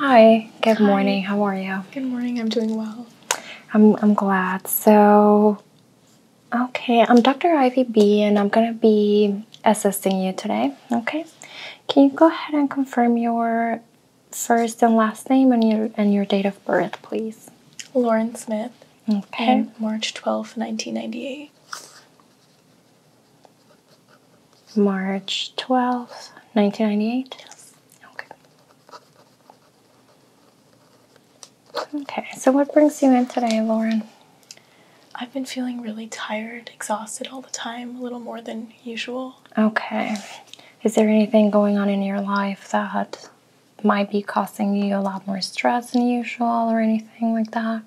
Hi, good morning. How are you? Good morning. I'm doing well. I'm I'm glad. So, okay, I'm Dr. Ivy B and I'm going to be assisting you today, okay? Can you go ahead and confirm your first and last name and your and your date of birth, please? Lauren Smith. Okay. March twelfth, nineteen 1998. March 12th, 1998? Okay. Okay, so what brings you in today, Lauren? I've been feeling really tired, exhausted all the time, a little more than usual. Okay. Is there anything going on in your life that might be causing you a lot more stress than usual or anything like that?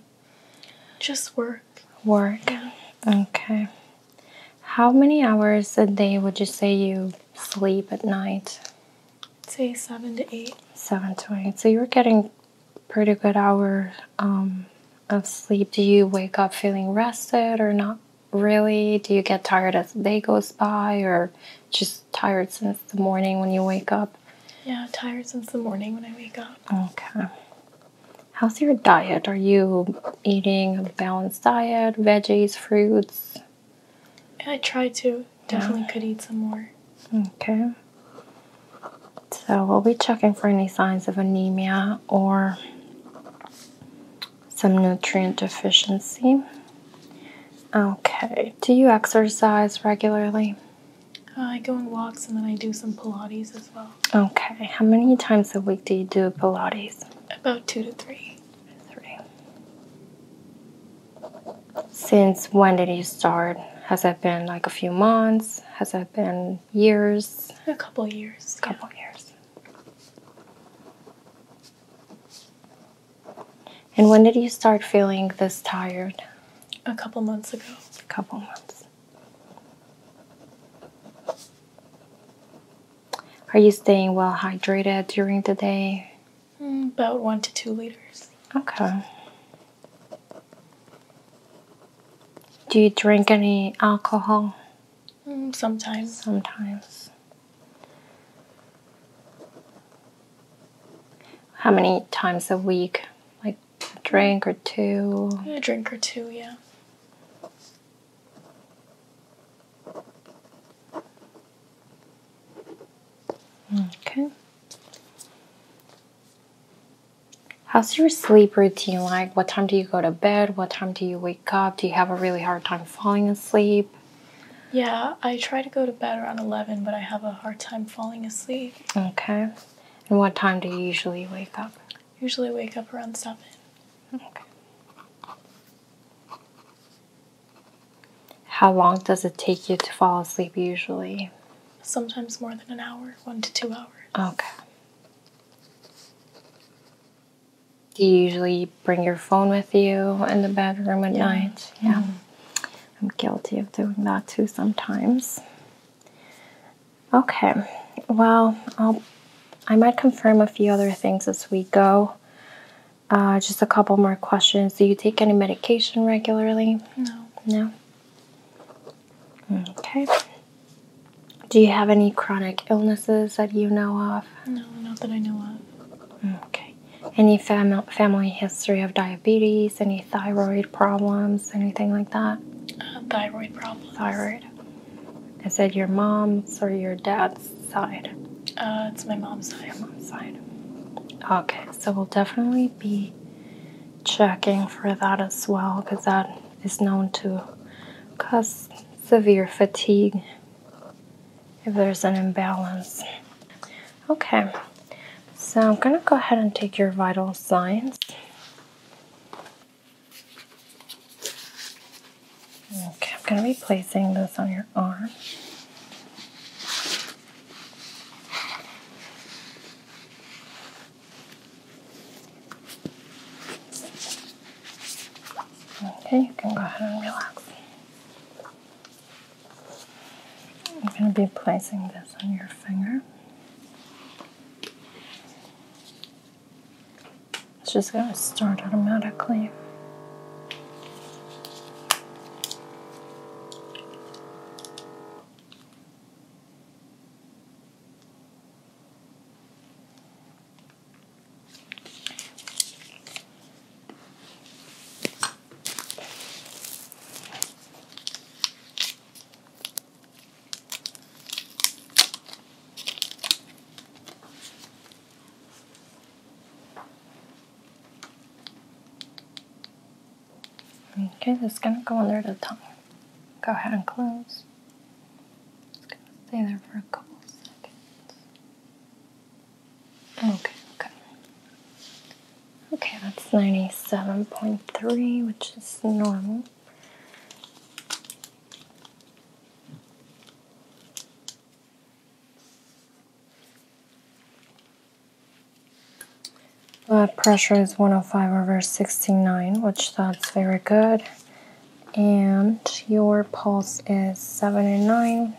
Just work. Work? Okay. How many hours a day would you say you sleep at night? say seven to eight. Seven to eight. So you're getting pretty good hours um, of sleep. Do you wake up feeling rested or not really? Do you get tired as the day goes by or just tired since the morning when you wake up? Yeah, tired since the morning when I wake up. Okay. How's your diet? Are you eating a balanced diet, veggies, fruits? I try to. Definitely could eat some more. Okay. So we'll be checking for any signs of anemia or some nutrient deficiency. Okay. Do you exercise regularly? Uh, I go on walks and then I do some Pilates as well. Okay. How many times a week do you do Pilates? About two to three. Three. Since when did you start? Has it been like a few months? Has it been years? A couple years. A couple years. And when did you start feeling this tired? A couple months ago. A couple months. Are you staying well hydrated during the day? Mm, about one to two liters. Okay. Do you drink any alcohol? Mm, sometimes. Sometimes. How many times a week? Like a drink or two? A drink or two, yeah. Okay. How's your sleep routine like? What time do you go to bed? What time do you wake up? Do you have a really hard time falling asleep? Yeah, I try to go to bed around 11, but I have a hard time falling asleep. Okay. And what time do you usually wake up? Usually wake up around seven. Okay. How long does it take you to fall asleep usually? Sometimes more than an hour, one to two hours. Okay. Do you usually bring your phone with you in the bedroom at night? Mm-hmm. Yeah. I'm guilty of doing that too sometimes. Okay, well, I'll, I might confirm a few other things as we go. Uh, just a couple more questions. Do you take any medication regularly? No. No? Okay. Do you have any chronic illnesses that you know of? No, not that I know of. Okay. Any fam- family history of diabetes, any thyroid problems, anything like that? Uh, thyroid problems. Thyroid. Is it your mom's or your dad's side? Uh, it's my mom's side. Okay, so we'll definitely be checking for that as well because that is known to cause severe fatigue if there's an imbalance. Okay, so I'm going to go ahead and take your vital signs. Okay, I'm going to be placing this on your arm. Okay, you can go ahead and relax. I'm going to be placing this on your finger. It's just going to start automatically. Okay, it's gonna go under the tongue. Go ahead and close. It's gonna stay there for a couple seconds. Okay, okay. Okay, that's 97.3, which is normal. Blood pressure is 105 over 69, which that's very good. And your pulse is 79.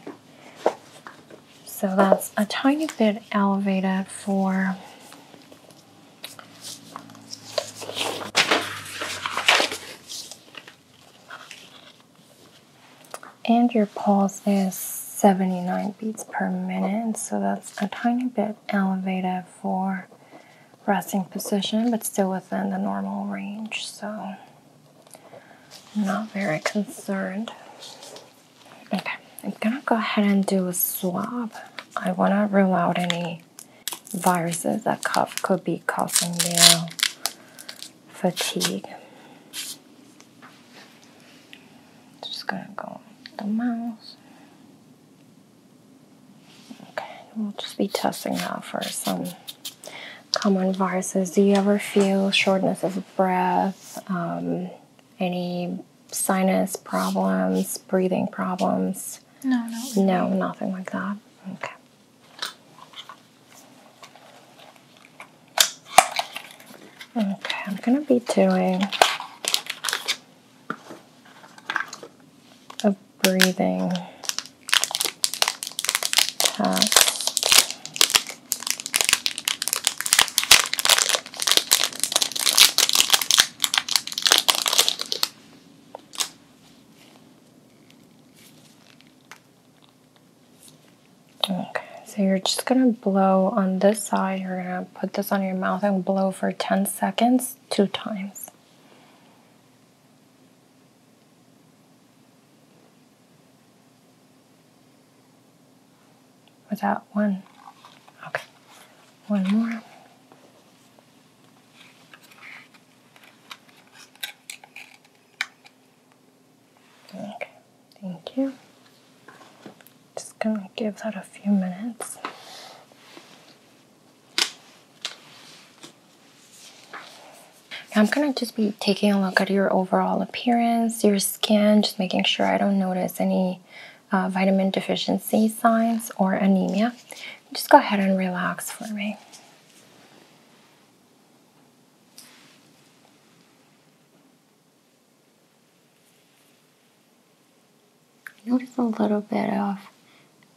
So that's a tiny bit elevated for and your pulse is 79 beats per minute, so that's a tiny bit elevated for resting position, but still within the normal range, so not very concerned. Okay, I'm gonna go ahead and do a swab. I want to rule out any viruses that could be causing their fatigue. Just gonna go the mouse. Okay, we'll just be testing now for some common viruses. Do you ever feel shortness of breath? Um, any sinus problems, breathing problems? No, no. No, nothing like that. Okay. Okay, I'm going to be doing a breathing test. Okay, so you're just gonna blow on this side. You're gonna put this on your mouth and blow for 10 seconds, two times. Was that one? Okay, one more. Okay, thank you. Just gonna give that a few minutes. I'm gonna just be taking a look at your overall appearance, your skin, just making sure I don't notice any uh, vitamin deficiency signs or anemia. Just go ahead and relax for me. Notice a little bit of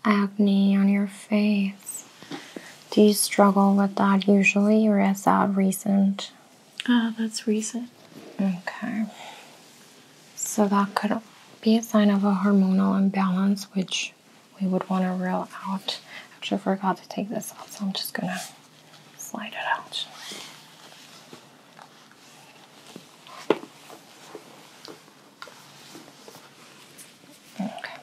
acne on your face. Do you struggle with that usually, or is that recent? Ah, that's recent. Okay. So that could be a sign of a hormonal imbalance, which we would want to reel out. Actually, forgot to take this out, so I'm just going to slide it out. Okay.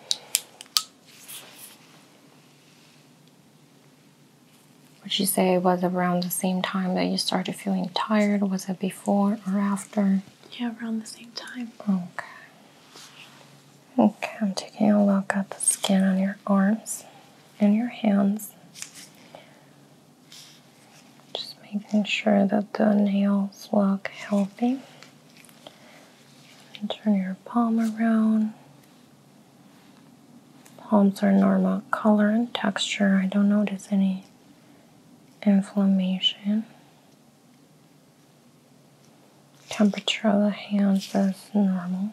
Would you say it was around the same time that you started feeling tired? Was it before or after? Yeah, around the same time. Okay. Okay, I'm taking a look at the skin on your arms and your hands. Just making sure that the nails look healthy. And turn your palm around. Palms are normal color and texture. I don't notice any inflammation. Temperature of the hands is normal.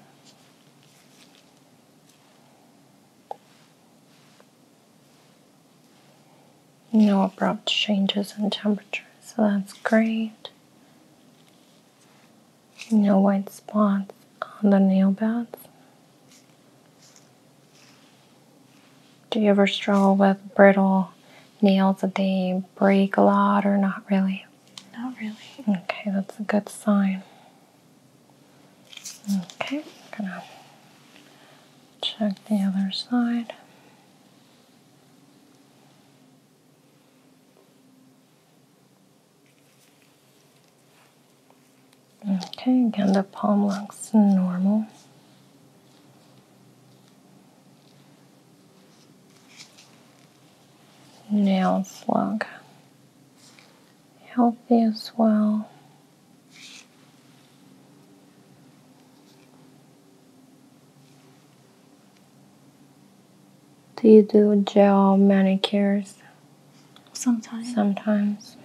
No abrupt changes in temperature, so that's great. No white spots on the nail beds. Do you ever struggle with brittle nails that they break a lot or not really? Not really. Okay, that's a good sign. Okay, I'm gonna check the other side. Okay, again, the palm looks normal. Nail look healthy as well. Do you do gel manicures? Sometimes. Sometimes.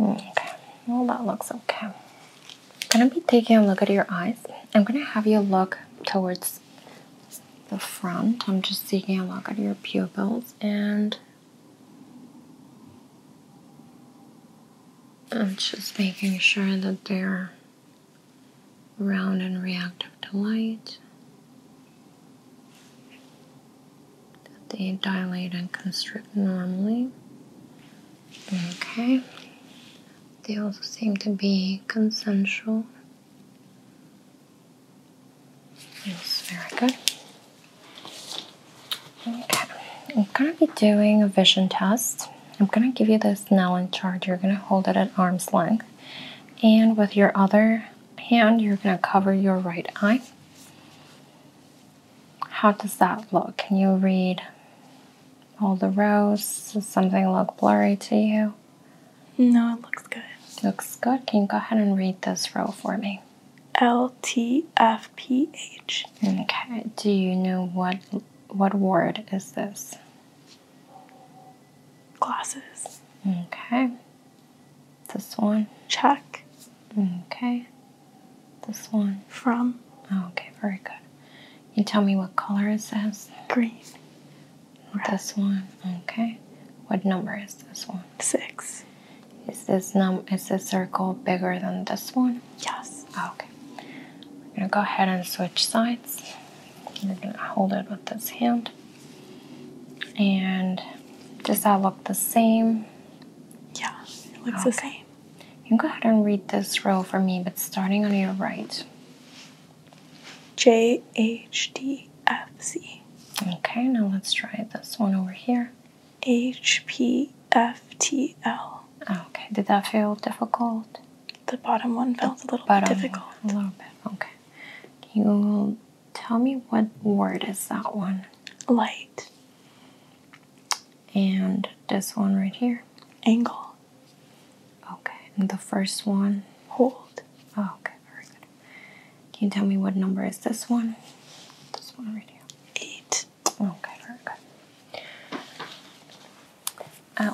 Okay, well, that looks okay. I'm gonna be taking a look at your eyes. I'm gonna have you look towards the front. I'm just taking a look at your pupils and I'm just making sure that they're round and reactive to light that they dilate and constrict normally. Okay. They also seem to be consensual. Yes, very good. Okay, I'm gonna be doing a vision test. I'm gonna give you this Snellen chart. You're gonna hold it at arm's length, and with your other hand, you're gonna cover your right eye how does that look? Can you read all the rows? Does something look blurry to you? No, it looks good. looks good. Can you go ahead and read this row for me? L T F P H. Okay. Do you know what what word is this? Glasses. Okay. This one. Check. Okay. This one? From. Oh, okay, very good. You tell me what color it says? Green. This one, okay. What number is this one? Six. Is this num is this circle bigger than this one? Yes. Oh, okay. We're gonna go ahead and switch sides. We're gonna hold it with this hand. And does that look the same? Yeah, it looks the same. You go ahead and read this row for me, but starting on your right. J H D F C. Okay, now let's try this one over here. H P F T L. Okay, did that feel difficult? The bottom one felt a little bit difficult. a little bit, okay. you tell me what word is that one? Light and this one right here. Angle. Okay, and the first one. Hold. Oh, okay, very good. Can you tell me what number is this one? This one right here. Eight. Okay, very good.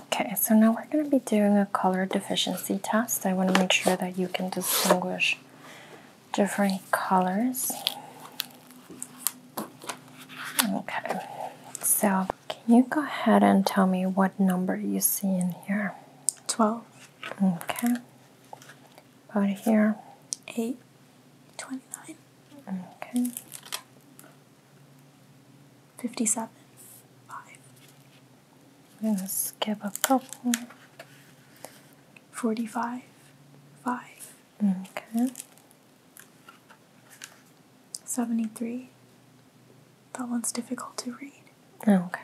Okay, so now we're going to be doing a color deficiency test. I want to make sure that you can distinguish different colors. Okay, so can you go ahead and tell me what number you see in here? 12. Okay. Out here? 8. 29. Okay. 57. 5. I'm going to skip a couple. 45. 5. Okay. 73. That one's difficult to read. Oh, okay.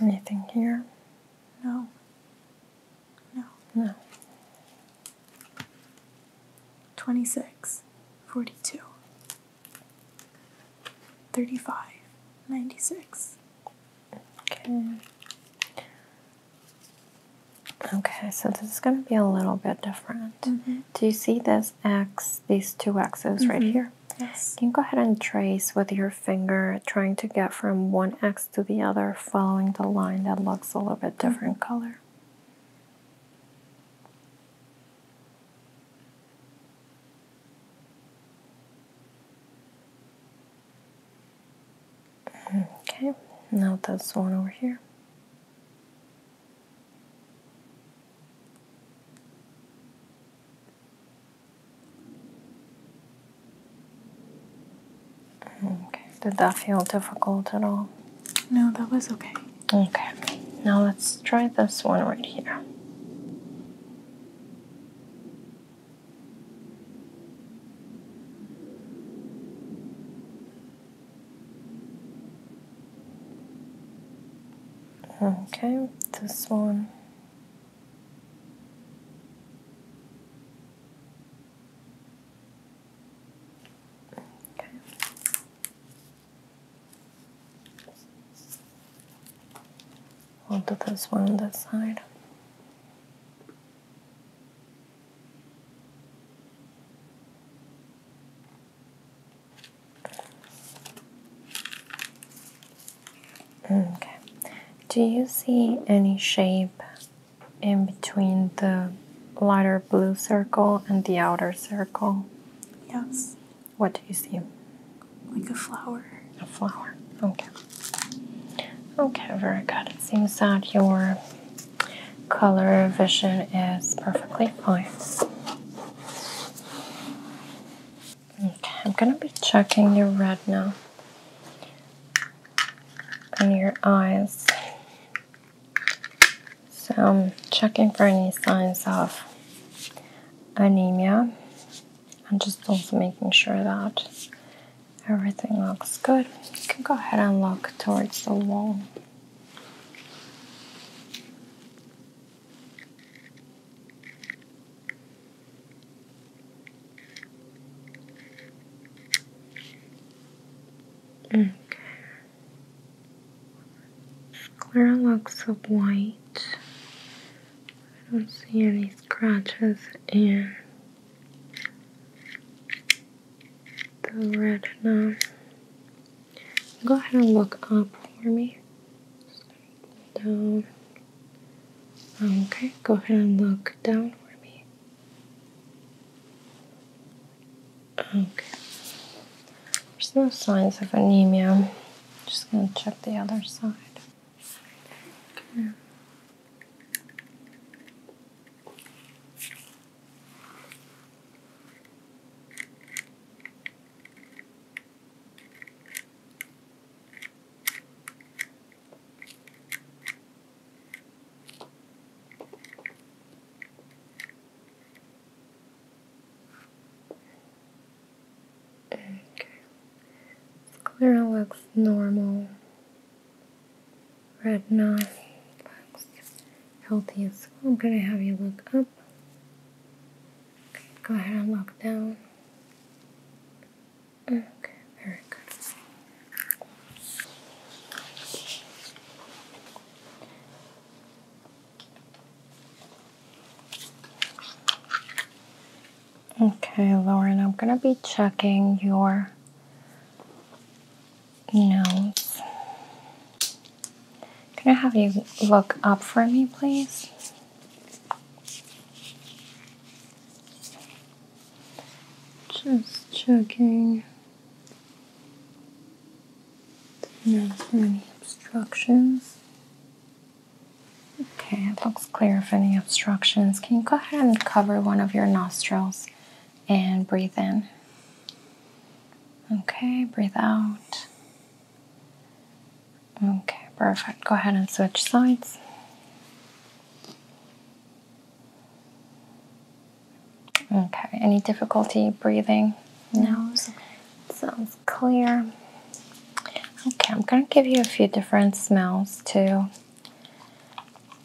Anything here? No. No. No. 26, 42, 35, 96. Okay. Okay, so this is going to be a little bit different. Mm-hmm. Do you see this X, these two X's right mm-hmm. here? Yes. Can go ahead and trace with your finger, trying to get from one X to the other, following the line that looks a little bit mm-hmm. different color? Okay, now that's the one over here. Okay, did that feel difficult at all? No, that was okay. Okay, now let's try this one right here. Okay, this one. Okay. We'll do this one on that side. Okay. Do you see any shape in between the lighter blue circle and the outer circle? Yes. What do you see? Like a flower. A flower. Okay. Okay, very good. It seems that your color vision is perfectly fine. Okay, I'm going to be checking your red now and your eyes. So I'm checking for any signs of anemia. I'm just also making sure that Everything looks good. You can go ahead and look towards the wall. Okay. Square looks white. I don't see any scratches and the retina. Go ahead and look up for me. Down. Okay, go ahead and look down for me. Okay. There's no signs of anemia. Just gonna check the other side. Okay, Sclera looks normal. Red looks healthy as well. I'm going to have you look up. go ahead and look down. Okay, very good. Okay, Lauren, I'm going to be checking your gnomes. Can I have you look up for me, please? Just checking. any obstructions. Okay, it looks clear of any obstructions. Can you go ahead and cover one of your nostrils and breathe in. Okay, breathe out. Okay, perfect. Go ahead and switch sides. Okay, any difficulty breathing? No, Sounds clear. Okay, I'm gonna give you a few different smells too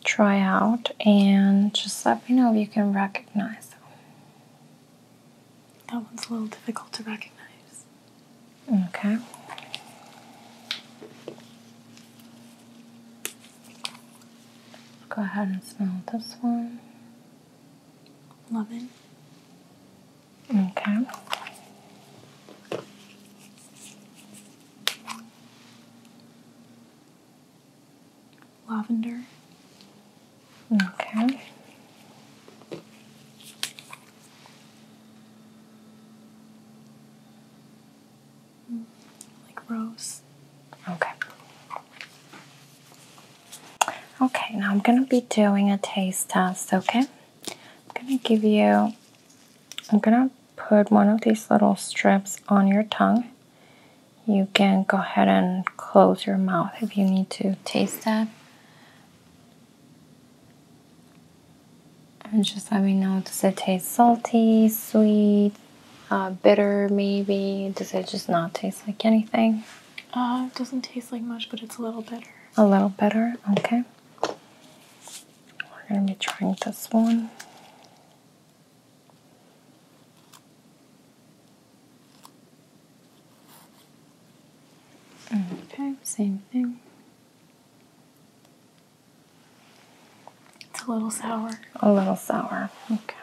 try out and just let me know if you can recognize them. That one's a little difficult to recognize. Okay. Let's go ahead and smell this one. Lemon. Okay lavender. Okay. Like rose. Okay. Okay, now I'm going to be doing a taste test, okay? I'm going to give you, I'm going to put one of these little strips on your tongue you can go ahead and close your mouth if you need to taste that. And just let me know does it taste salty, sweet, uh, bitter maybe? Does it just not taste like anything? Uh, it doesn't taste like much, but it's a little bitter. A little bitter, okay. We're gonna be trying this one. Okay, same thing. It's a little sour. A little sour. Okay.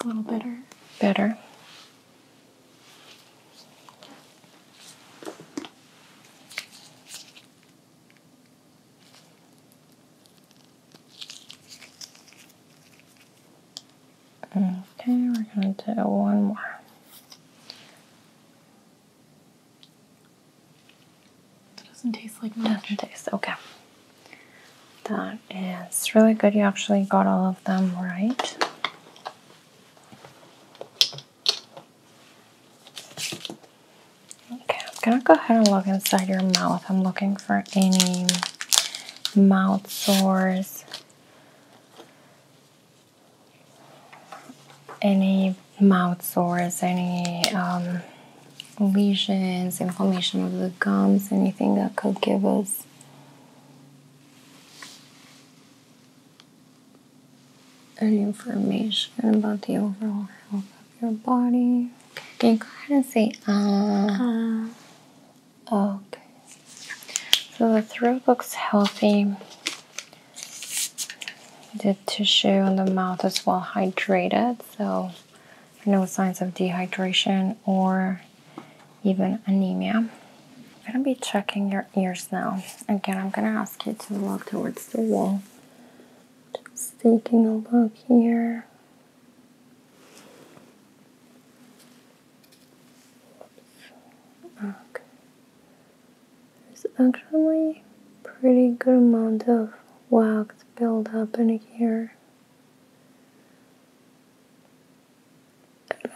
A little better. Better. Okay, we're going to do one more. It doesn't taste like much. does taste okay. That is really good. You actually got all of them right. Okay, I'm gonna go ahead and look inside your mouth. I'm looking for any mouth sores any mouth sores, any um, lesions, inflammation of the gums, anything that could give us any information about the overall health of your body. Can you go ahead and say ah? Okay. So the throat looks healthy. The tissue in the mouth is well hydrated, so no signs of dehydration or even anemia. I'm gonna be checking your ears now. Again, I'm gonna ask you to look towards the wall. Just taking a look here. Okay. There's actually pretty good amount of wax buildup in here.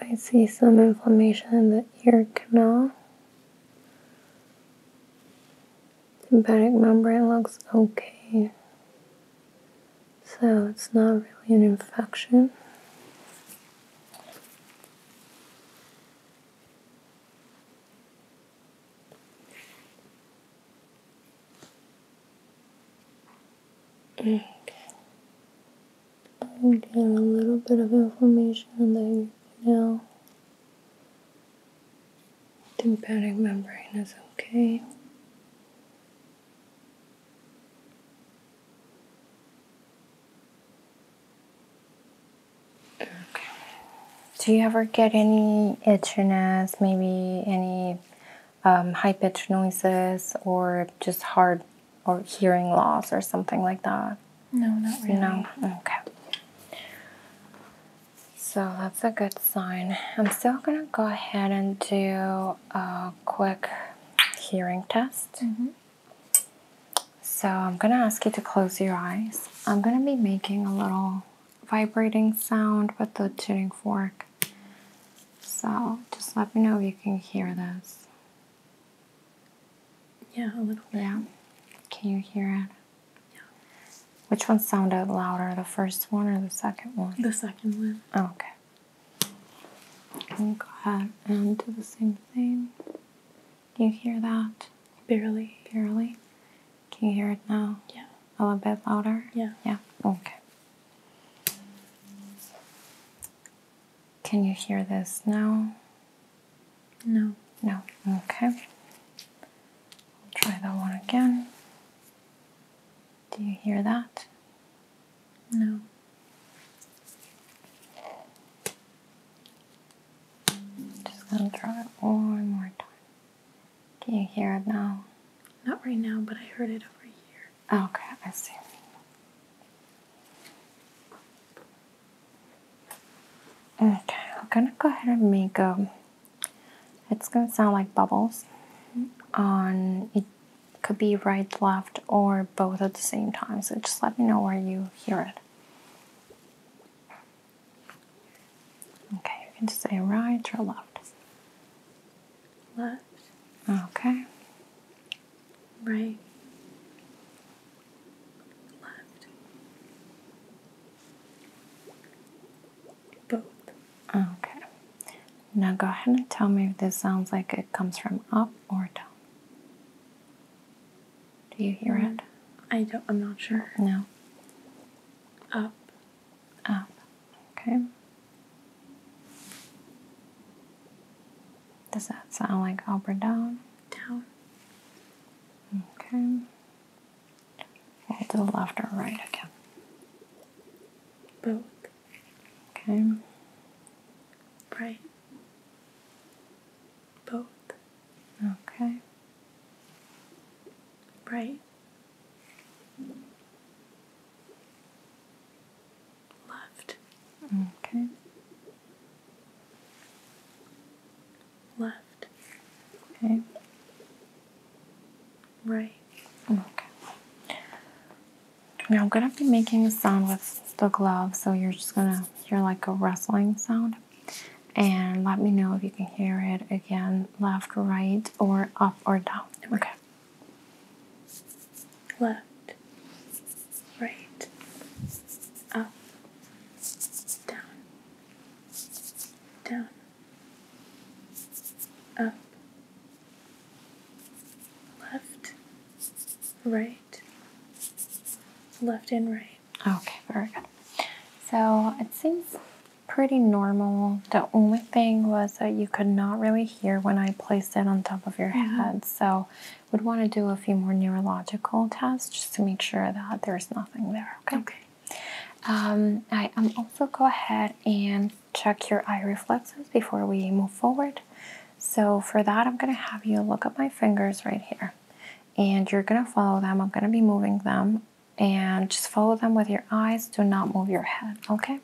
I see some inflammation in the ear canal. Tympanic membrane looks okay. So it's not really an infection. Okay. I'm getting a little bit of inflammation in the now. Tympanic membrane is okay. Do you ever get any itchiness, maybe any um, high pitched noises, or just hard or hearing loss or something like that? No, not really. No, okay. So that's a good sign. I'm still gonna go ahead and do a quick hearing test. Mm-hmm. So I'm going to ask you to close your eyes. I'm going to be making a little vibrating sound with the tuning fork. So just let me know if you can hear this. Yeah, a little bit. Yeah. Can you hear it? Yeah. Which one sounded louder, the first one or the second one? The second one. Oh, okay. go ahead and do the same thing. Do you hear that? Barely. Barely? Can you hear it now? Yeah. A little bit louder? Yeah. Yeah. Okay. Can you hear this now? No. No. Okay. try that one again. Do you hear that? No. Just gonna try it one more time. Can you hear it now? Not right now, but I heard it over here. okay, I see. Okay, I'm gonna go ahead and make a. Um, it's gonna sound like bubbles. On it could be right, left, or both at the same time. So just let me know where you hear it. Okay, you can say right or left. Left. Okay. Right. Left. Both. Okay. Now go ahead and tell me if this sounds like it comes from up or down. Do you hear it? I don't. I'm not sure. No. Up. Up. Okay. Does that sound like up or down? Down. Okay. Fold to the left or right again. Both. Okay. Right. Both. Okay. Right. Left. Okay. Left. Okay. Right. Okay. Now I'm gonna be making a sound with the glove, so you're just gonna hear like a rustling sound and let me know if you can hear it again left, right, or up or down. Okay. Left, right, up, down, down, up, left, right, left and right. Okay, very good. So it seems pretty normal. The only thing was that you could not really hear when I placed it on top of your head. So we would want to do a few more neurological tests just to make sure that there's nothing there. Okay. okay. Um, I am um, also go ahead and check your eye reflexes before we move forward. So for that, I'm going to have you look at my fingers right here. And you're gonna follow them. I'm gonna be moving them and just follow them with your eyes. Do not move your head, okay?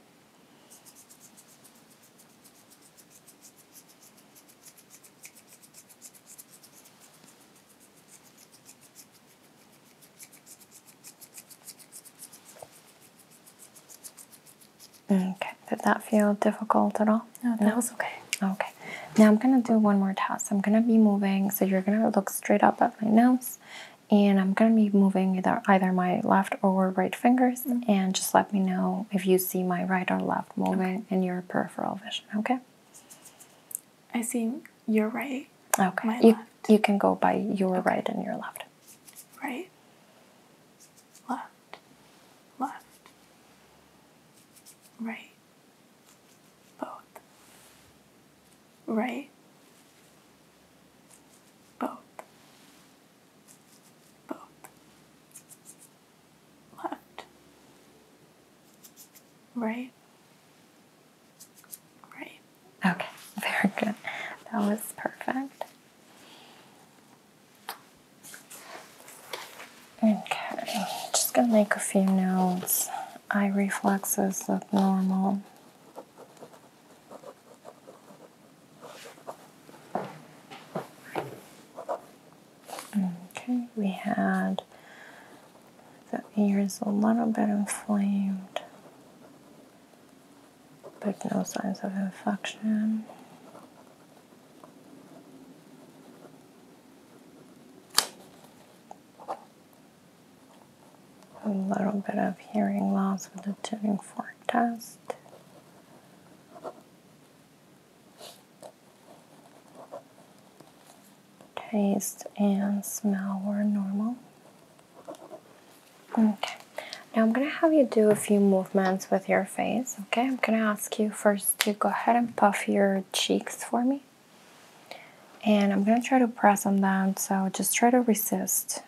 Okay, did that feel difficult at all? No, that was okay. Okay now I'm gonna do one more test. I'm gonna be moving, so you're gonna look straight up at my nose, and I'm gonna be moving either, either my left or right fingers, mm-hmm. and just let me know if you see my right or left moving in your peripheral vision. Okay. I see your right. Okay. My you left. you can go by your right and your left. Right. Left. Left. Right both, right, both, both, left, right, right. Okay, very good. That was perfect. Okay, just gonna make a few notes eye reflexes look normal. Okay, we had the ears a little bit inflamed, but no signs of infection a little bit of hearing loss with the tuning fork test. Taste and smell were normal. Okay, now I'm gonna have you do a few movements with your face. Okay, I'm gonna ask you first to go ahead and puff your cheeks for me and I'm gonna try to press them down so just try to resist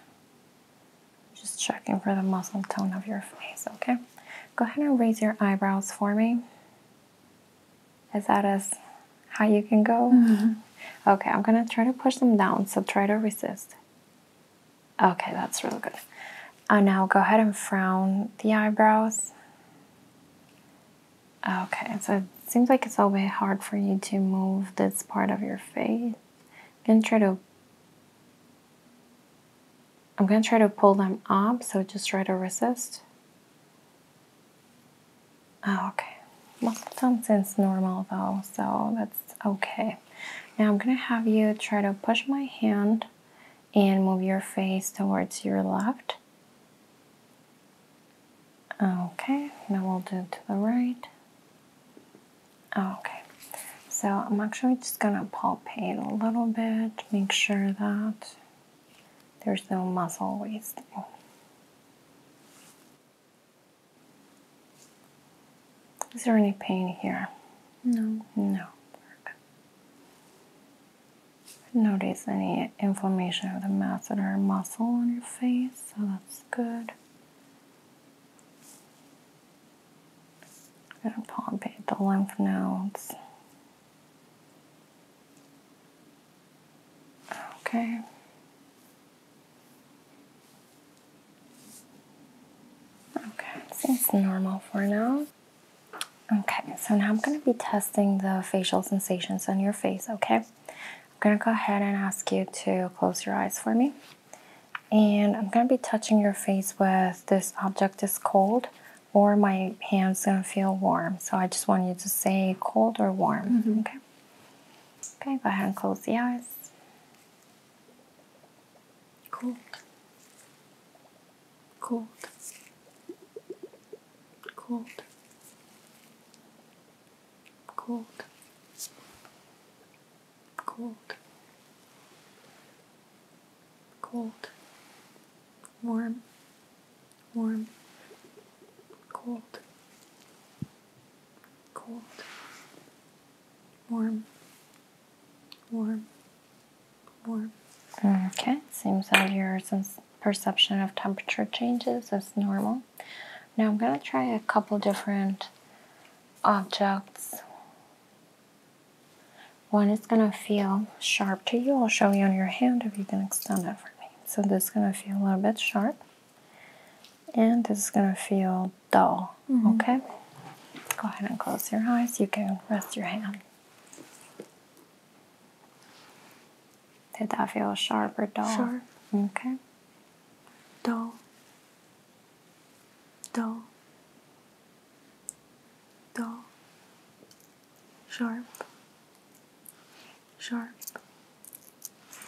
just checking for the muscle tone of your face okay go ahead and raise your eyebrows for me is that as high you can go mm-hmm. okay I'm gonna try to push them down so try to resist okay that's really good and uh, now go ahead and frown the eyebrows Okay, so it seems like it's a bit hard for you to move this part of your face. I'm gonna try to I'm gonna try to pull them up, so just try to resist. Oh, okay. Muscle tension's normal though, so that's okay. Now I'm gonna have you try to push my hand and move your face towards your left. Okay, now we'll do to the right. Okay, so I'm actually just gonna palpate a little bit, make sure that there's no muscle wasting. Is there any pain here? No. No. Notice any inflammation of the masseter muscle on your face, so that's good. I'm going to palpate the lymph nodes. Okay. Okay, seems normal for now. Okay, so now I'm going to be testing the facial sensations on your face, okay? I'm going to go ahead and ask you to close your eyes for me. And I'm going to be touching your face with this object is cold or my hand's going to feel warm. So I just want you to say cold or warm. Mm-hmm. Okay. Okay, go ahead and close the eyes. Cold. Cold. Cold cold, cold, cold, warm, warm, cold, cold, warm, warm, warm. Okay, seems like your perception of temperature changes is normal now. I'm going to try a couple different objects. One is going to feel sharp to you. I'll show you on your hand if you can extend it for me. So this is going to feel a little bit sharp. And this is going to feel dull. Mm -hmm. Okay? Go ahead and close your eyes. You can rest your hand. Did I feel sharp or dull? Okay. Dull. Dull. Dull. Sharp. Sharp.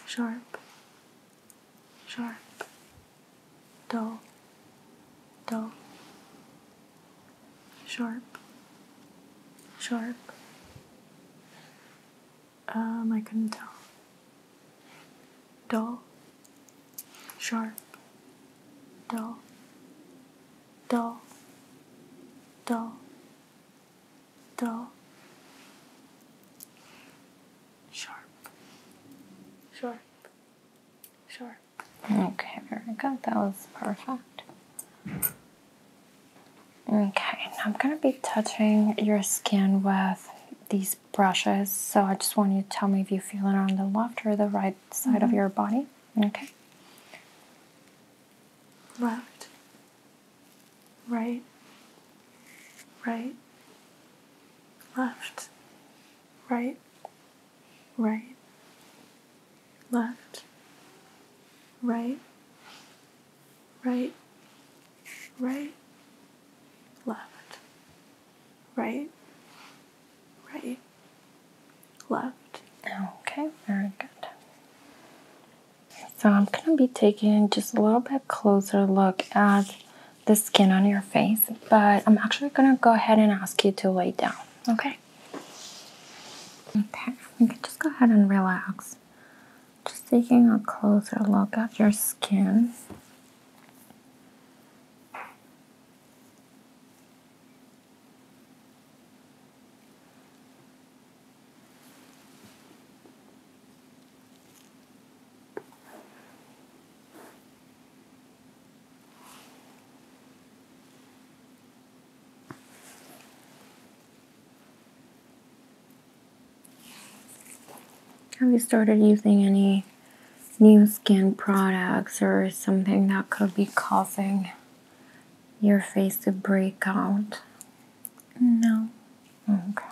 Sharp. Sharp. Dull. Dull. Sharp. Sharp. Um, I couldn't tell. Dull, sharp, dull, dull, dull, dull, sharp, sharp, sharp. Okay, very good. That was perfect. Okay, I'm going to be touching your skin with these brushes. So I just want you to tell me if you feel it on the left or the right side of mm-hmm. your body. Okay. Left. Right. Right. Left. Right. Right. Left. Right right, right, left, right, right, left. Okay, very good. So I'm going to be taking just a little bit closer look at the skin on your face, but I'm actually going to go ahead and ask you to lay down, okay? Okay, you can just go ahead and relax. Just taking a closer look at your skin. Have you started using any new skin products or something that could be causing your face to break out? No. Okay.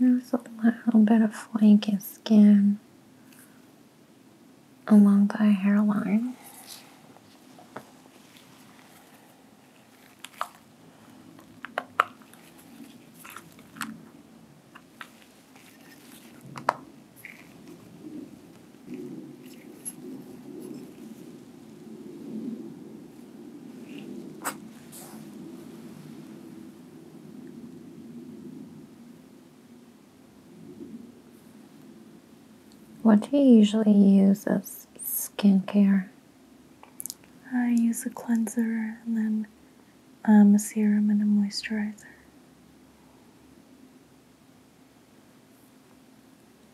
There's a little bit of flaking skin along the hairline. What do you usually use as skincare? I use a cleanser and then um, a serum and a moisturizer.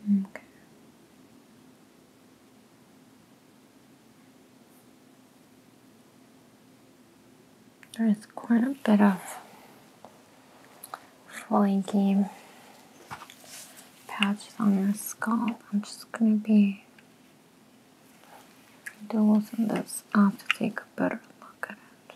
Mm, okay. There is quite a bit of flaky patches on your scalp. I'm just gonna be doing this I have to take a better look at it.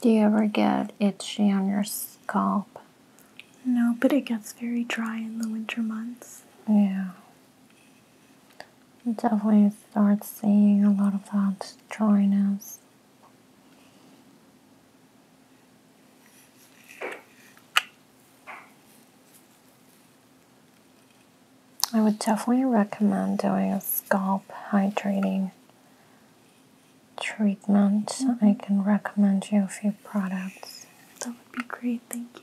Do you ever get itchy on your scalp? No, but it gets very dry in the winter months. Yeah. definitely start seeing a lot of that dryness. I would definitely recommend doing a scalp hydrating treatment, mm-hmm. I can recommend you a few products. That would be great, thank you.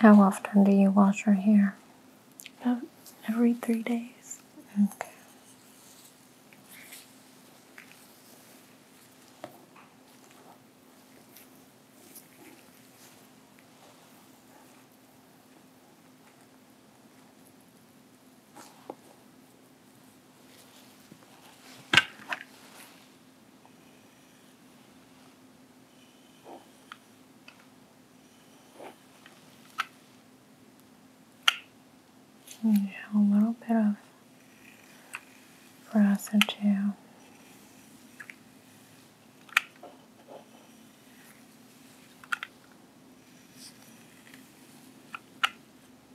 How often do you wash your hair? every three days. Okay a little bit of flaccid too.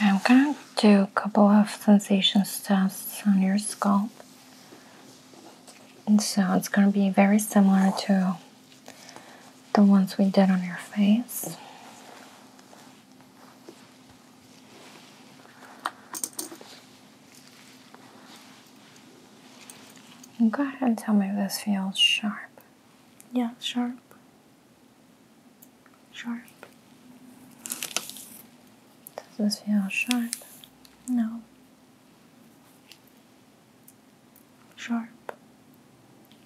I'm going to do a couple of sensations tests on your scalp. And so it's going to be very similar to the ones we did on your face. Go ahead and tell me if this feels sharp. Yeah, sharp. Sharp. Does this feel sharp? No. Sharp.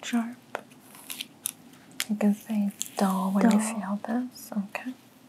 Sharp. You can say dull when you feel this, okay?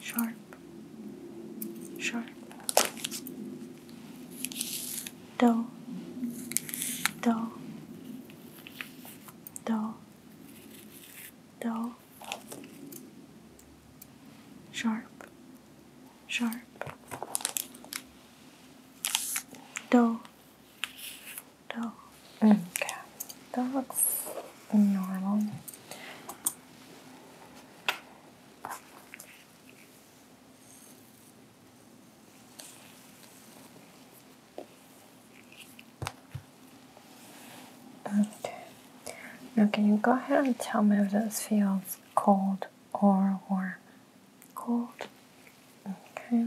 Sharp, sharp. Do, do, do, do. Sharp, sharp. Do, do. Okay, mm, that looks normal. Okay. Now, can you go ahead and tell me if this feels cold or warm? Cold. Okay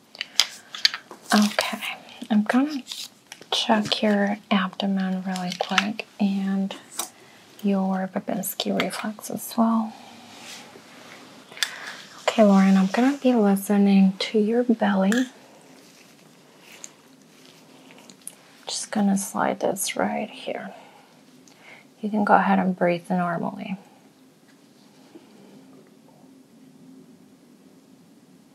Okay, I'm gonna check your abdomen really quick and your Babinski reflex as well. Okay, Lauren, I'm gonna be listening to your belly. Just gonna slide this right here. You can go ahead and breathe normally.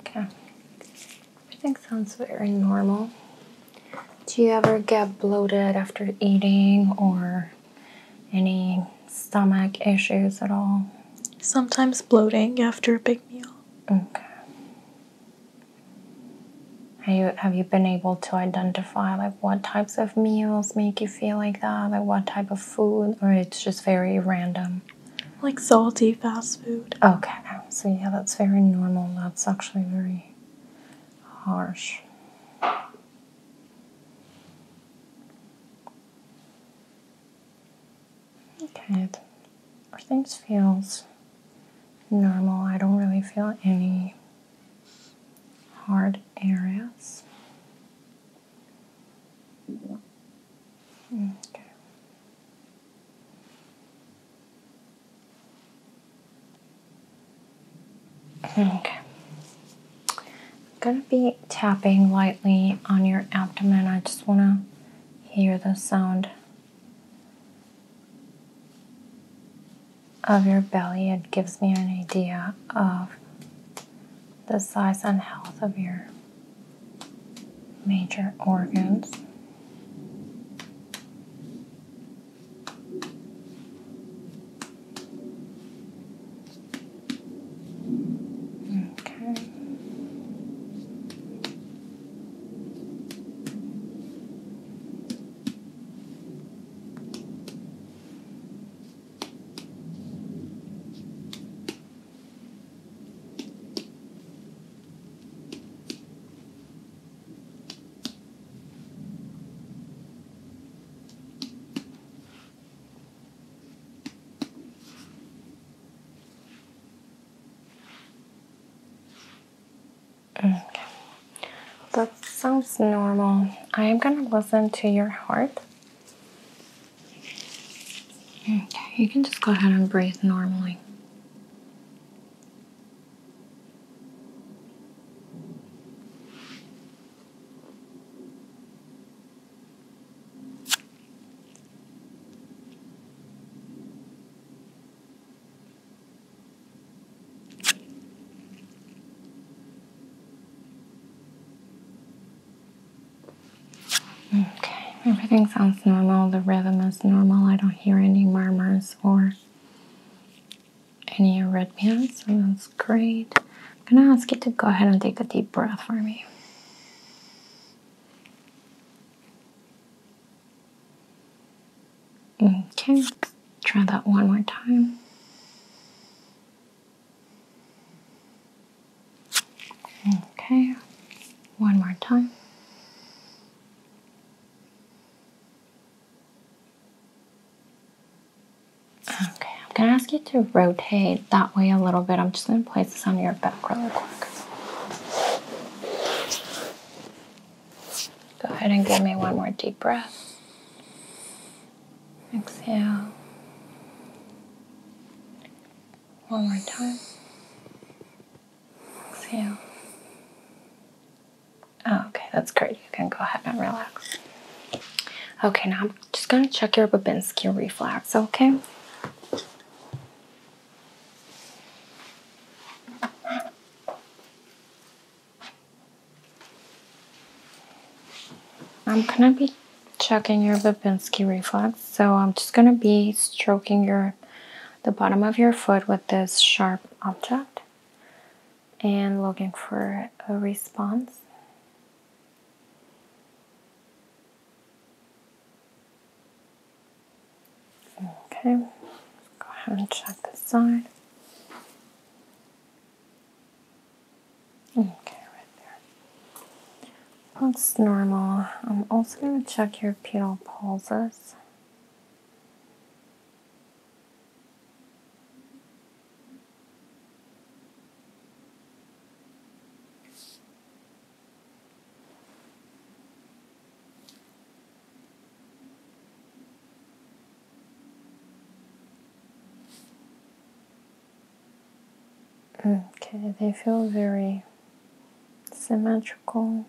Okay. I think sounds very normal. Do you ever get bloated after eating or any stomach issues at all? Sometimes bloating after a big meal. Okay. Have you, have you been able to identify like what types of meals make you feel like that? Like what type of food or it's just very random? Like salty fast food. Okay, so yeah, that's very normal. That's actually very harsh. Okay, everything feels normal. I don't really feel any hard areas. Okay. Okay. I'm gonna be tapping lightly on your abdomen. I just wanna hear the sound of your belly. It gives me an idea of the size and health of your major organs. Okay. Okay. That sounds normal. I am going to listen to your heart Okay, you can just go ahead and breathe normally. Okay, everything sounds normal. The rhythm is normal. I don't hear any murmurs or any arrhythmias, so that's great. I'm gonna ask you to go ahead and take a deep breath for me. Okay, try that one more time. Okay, one more time. Okay, I'm gonna ask you to rotate that way a little bit. I'm just gonna place this on your back real quick. Go ahead and give me one more deep breath. Exhale. One more time. Exhale. Oh, okay, that's great. You can go ahead and relax. Okay, now I'm just going to check your Babinski reflex, okay? I'm going to be checking your Babinski reflex. So I'm just going to be stroking your the bottom of your foot with this sharp object and looking for a response. Okay, go ahead and check this side. Okay, right there. Looks normal. I'm also going to check your pedal pulses. Okay, they feel very symmetrical.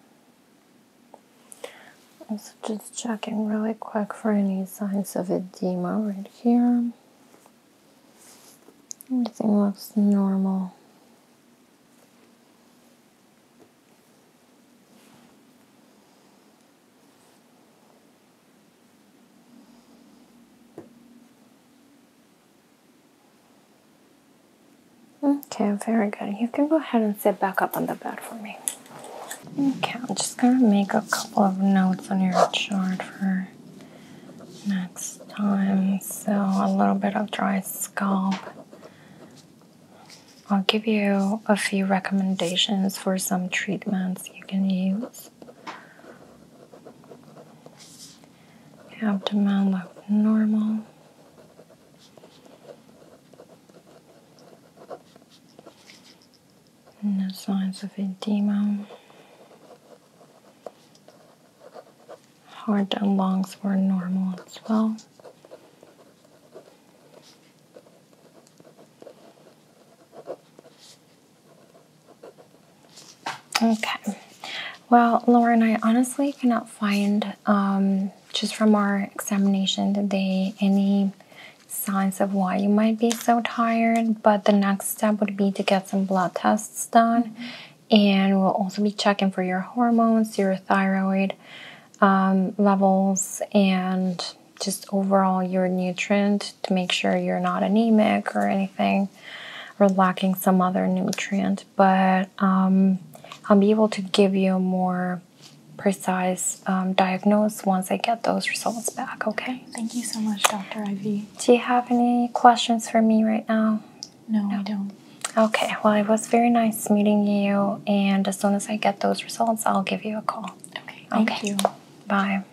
Also, just checking really quick for any signs of edema right here. Everything looks normal. Okay, very good. You can go ahead and sit back up on the bed for me. Okay, I'm just gonna make a couple of notes on your chart for next time. So, a little bit of dry scalp. I'll give you a few recommendations for some treatments you can use. Abdomen looked normal. No signs of edema. Heart and lungs were normal as well. Okay. Well, Lauren, I honestly cannot find, um, just from our examination today, any signs of why you might be so tired. But the next step would be to get some blood tests done. Mm-hmm. And we'll also be checking for your hormones, your thyroid um, levels, and just overall your nutrient to make sure you're not anemic or anything or lacking some other nutrient, but um, I'll be able to give you a more precise um, diagnosis once I get those results back, okay? Thank you so much, Dr. Ivy. Do you have any questions for me right now? No, I don't. Okay, well, it was very nice meeting you, and as soon as I get those results, I'll give you a call. Okay, thank okay. you. Bye.